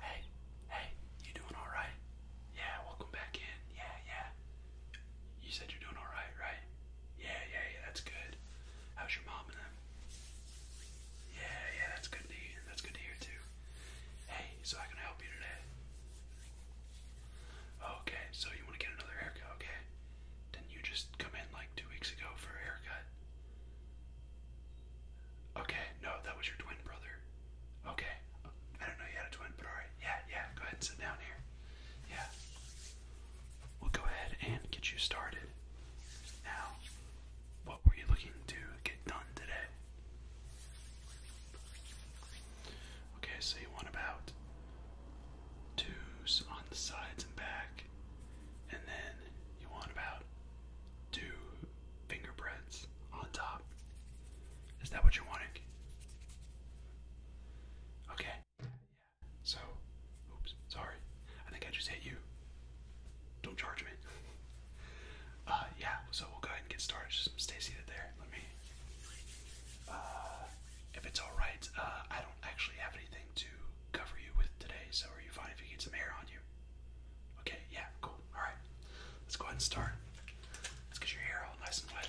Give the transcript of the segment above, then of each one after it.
Hey, hey, you doing alright? Yeah, welcome back in. Yeah, yeah. You said you're doing alright, right? Yeah, yeah, yeah, that's good. How's your mom and them? Yeah, yeah, that's good to hear. That's good to hear too. Hey, so I can help you today. Okay, so you want to get another haircut, okay? Didn't you just come in like two weeks ago for a haircut? Okay, no, that was your twin brother. Okay, I don't know you had a twin, but alright, yeah, yeah, go ahead and sit down here. Yeah. We'll go ahead and get you started. Now, what were you looking to get done today? Okay, so you want about twos on the sides and back, and then you want about two finger breads on top. Is that what you're wanting? Okay. So, oops, sorry. I think I just hit you. Don't charge me. uh, yeah, so we'll go ahead and get started. Just stay seated there. Let me. Uh, if it's alright, uh, I don't actually have anything to cover you with today, so are you fine if you get some hair on you? Okay, yeah, cool. All right, let's go ahead and start. Let's get your hair all nice and wet.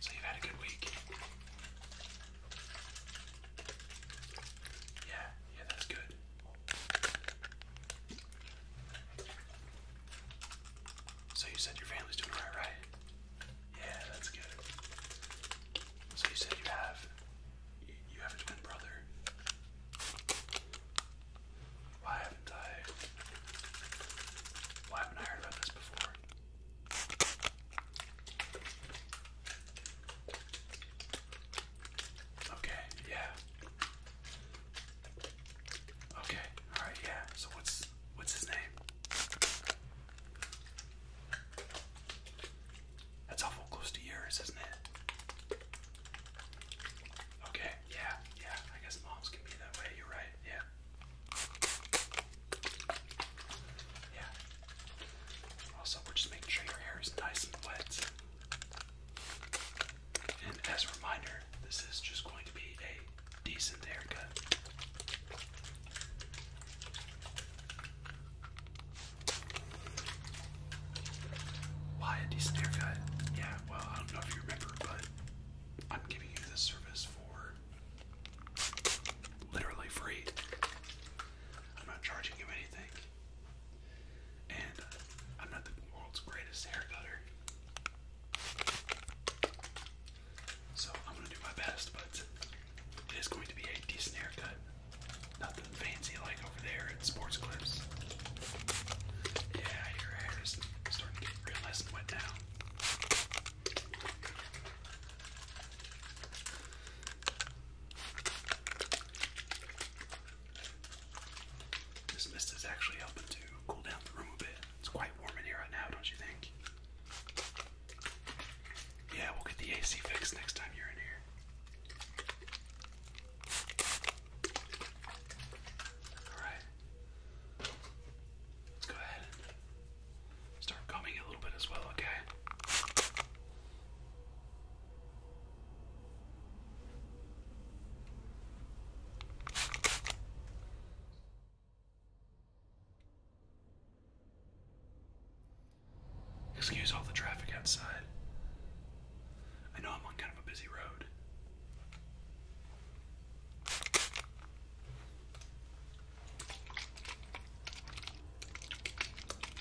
So you've had a good week. Yeah, yeah, that's good. So you said your family's doing alright, right? Yeah, that's good. So you said you have you have a twin brother. Why haven't I why haven't I heard about this before? Okay, yeah. Okay, alright, yeah. So what's what's his name? That's awful close to yours, isn't it? Okay, yeah, yeah. I guess moms can be that way, you're right, yeah. Yeah. Also, we're just making sure your hair is nice and wet. And as a reminder, this is just going to be a decent haircut. Why a decent haircut? Yeah, well, I don't know if you remember, but I'm giving you this service for literally free. I'm not charging you anything. And uh, I'm not the world's greatest hair cutter. So I'm gonna do my best, but it is going to be a decent haircut. Nothing fancy like over there at Sports Clips. Yeah, your hair is starting to get real nice and now. This mist is actually helping to cool down the room a bit. It's quite warm in here right now, don't you think? Yeah, we'll get the AC fixed next time you're in here. Alright. Let's go ahead start combing a little bit as well, okay? Excuse all the traffic outside. I know I'm on kind of a busy road.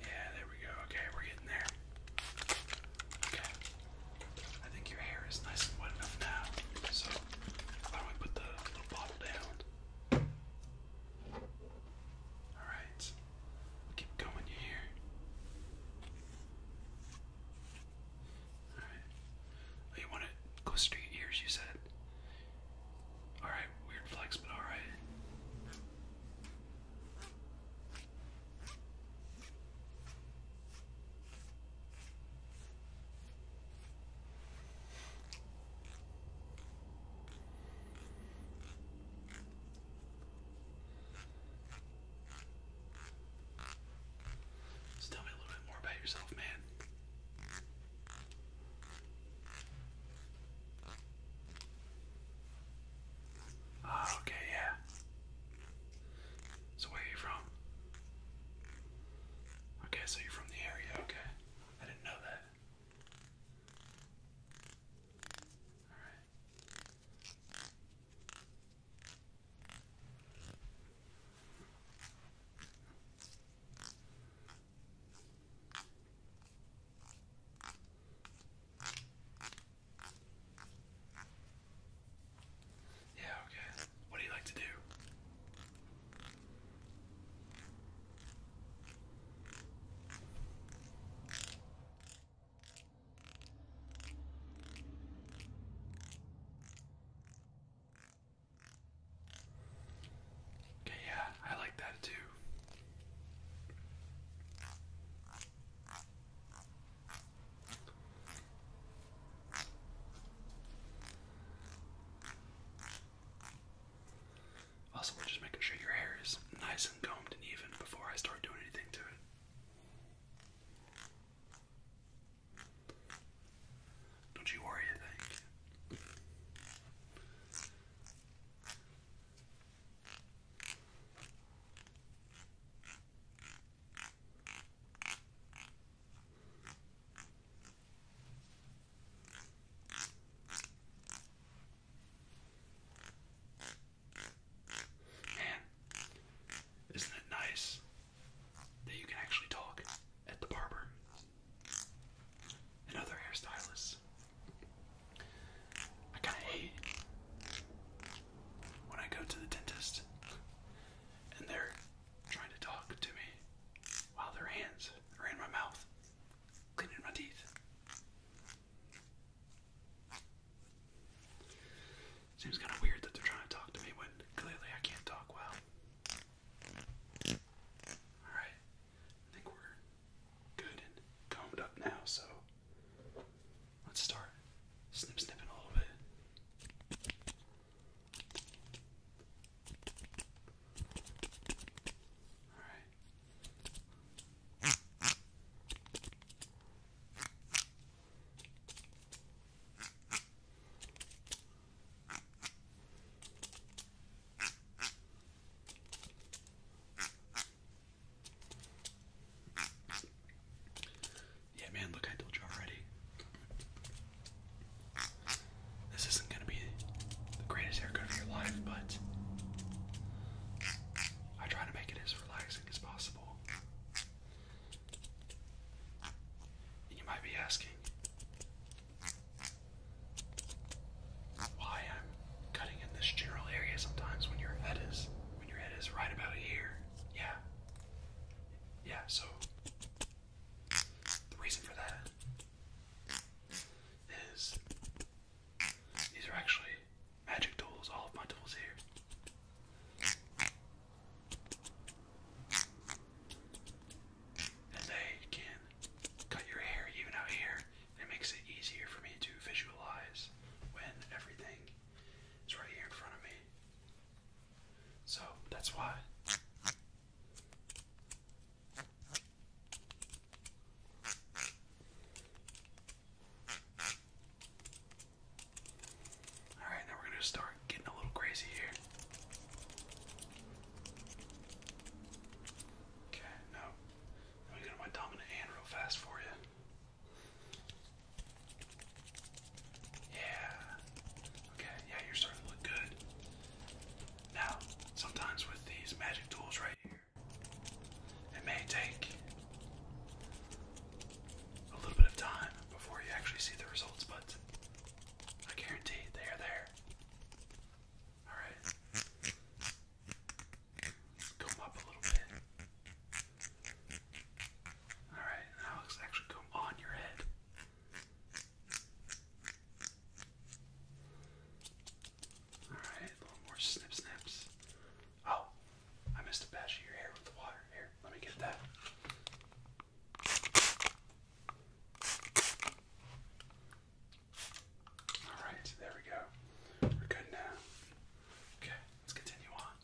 Yeah, there we go. Okay, we're getting there. Okay. I think your hair is nice and wet enough now. So why don't we put the little bottle down? Alright. will keep going oh, here. Alright. you want it close to your ears, you said? Alright, weird flex, but alright. So tell me a little bit more about yourself, man. Ah, okay, yeah. So where are you from? Okay, so you're from the area, okay. I didn't know that. Alright. Yeah, okay. What do you like to do? Okay, yeah, I like that too. Also, we're just making sure your hair is nice and combed and even before I start doing anything to it. Don't you worry, I Man, isn't it nice that you can actually talk at the barber? Another hairstylist. I kind of hate when I go to the dentist and they're trying to talk to me while their hands are in my mouth, cleaning my teeth. Seems kind of weird that they're trying to talk to me when clearly I can't talk well. Alright, I think we're good and combed up now, so let's start snip snipping a little bit. Yeah, man, look, I told you already. This isn't gonna be the greatest haircut of your life, but I try to make it as relaxing as possible. you might be asking, why I'm cutting in this general area sometimes when your head is when your head is right about here. Yeah. Yeah, so the reason for that is these are actually magic tools, all of my tools here. And they can cut your hair even out here. It makes it easier for me to visualize when everything is right here in front of me. So that's why. Alright, now we're going to start getting a little crazy here. Okay, no. Let me get my dominant hand real fast for you. Yeah. Okay, yeah, you're starting to look good. Now, sometimes with these magic tools right here, it may take a little bit of time before you actually see the results, but I guarantee they are there. Alright comb up a little bit. Alright, now let's actually comb on your head. Alright, a little more snip snips. Oh, I missed a batch of your hair with the water. Here, let me get that. All right, there we go. We're good now. Okay, let's continue on.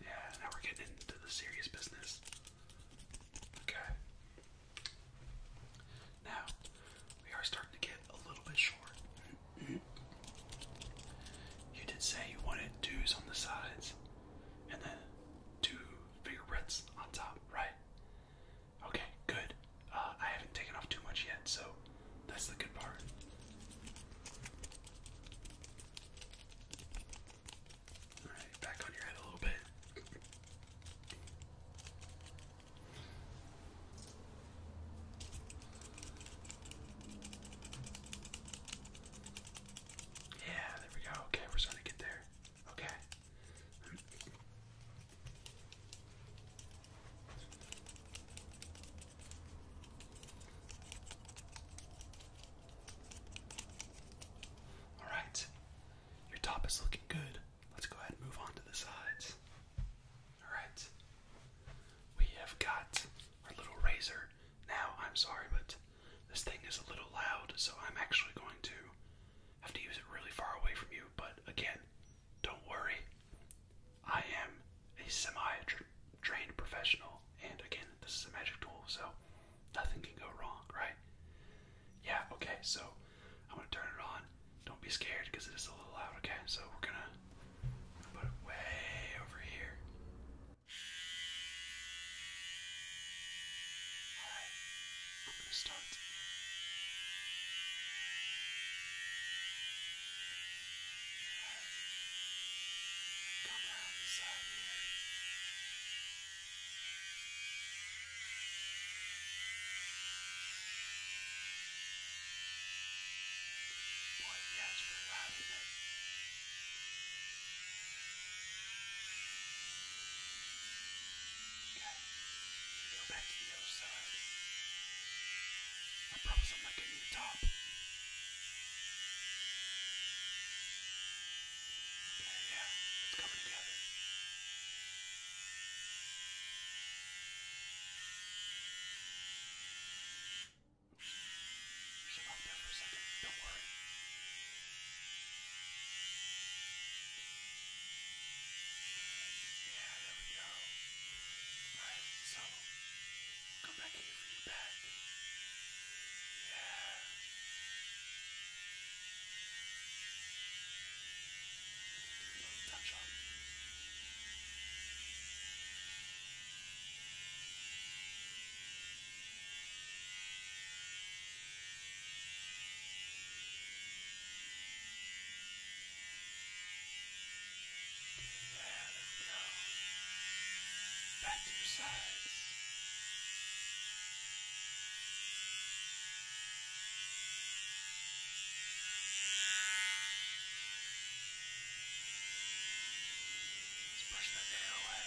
Yeah, now we're getting into the serious business. Okay. Now, we are starting to get a little bit short. you did say you wanted twos on the sides and then two fingerprints on top, right? Okay, good. Uh, I haven't taken off too much yet, so that's the good part. Alright, back on your head a little bit. Yeah, there we go. Okay, we're starting to get there. Okay. All right. Your top is looking good. Let's go ahead and move on to the sides. All right. We have got our little razor. Now, I'm sorry, but this thing is a little loud, so I'm actually going to have to use it really far away from you. But again, don't worry. I am a semi-trained professional, and again, this is a magic tool, so nothing can go wrong, right? Yeah, okay, so I'm gonna turn it on. Don't be scared because it is a little loud, okay? So we're gonna put it way over here. Alright, we're gonna start. Alright, come around the side here. Boy, yeah, it's pretty loud, isn't it? Okay. Go back to the other side. I promise I'm not getting the top. Okay, yeah, it's coming together. Shut off there for a second. Don't worry. Yeah, there we go. Alright, so we'll come back here for your back. Yeah. Little touch up. There we go go. Back to your sides. Let's brush that hair away.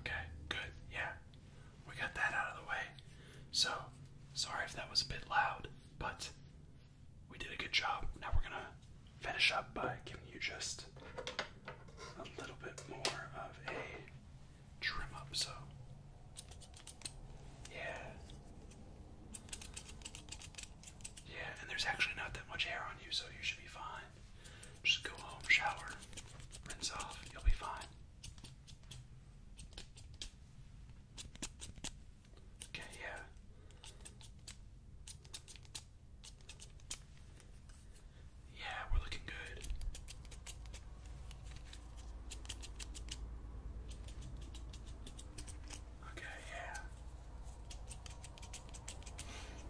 Okay, good. Yeah, we got that out of the way. So, sorry if that was a bit loud, but we did a good job. Now we're gonna finish up by giving you just a little bit more of a trim up so yeah yeah and there's actually not that much hair on you so you should be fine just go home shower rinse off you'll be fine okay yeah yeah, we're looking good. Okay, yeah.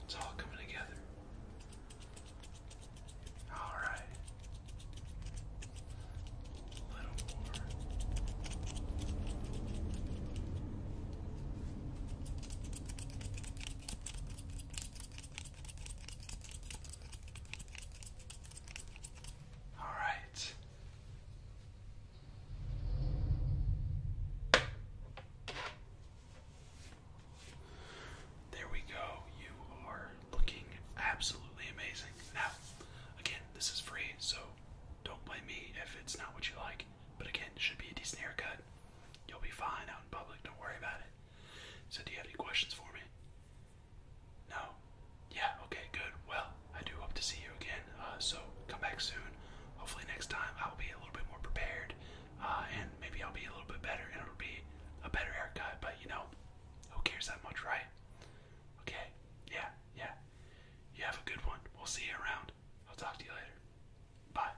It's all coming together. All right. A little more. All right. There we go. You are looking absolutely amazing. Now, again, this is free, so don't blame me if it's not what you like. But again, it should be a decent haircut. You'll be fine out in public, don't worry about it. So, do you have any questions for me? No? Yeah, okay, good. Well, I do hope to see you again. Uh, so, come back soon. Hopefully, next time I'll be a little bit more prepared uh, and maybe I'll be a little bit better and it'll be a better haircut, but you know, who cares that much, right? Okay, yeah, yeah. You have a good one. We'll see you around. I'll talk to you later. Bye.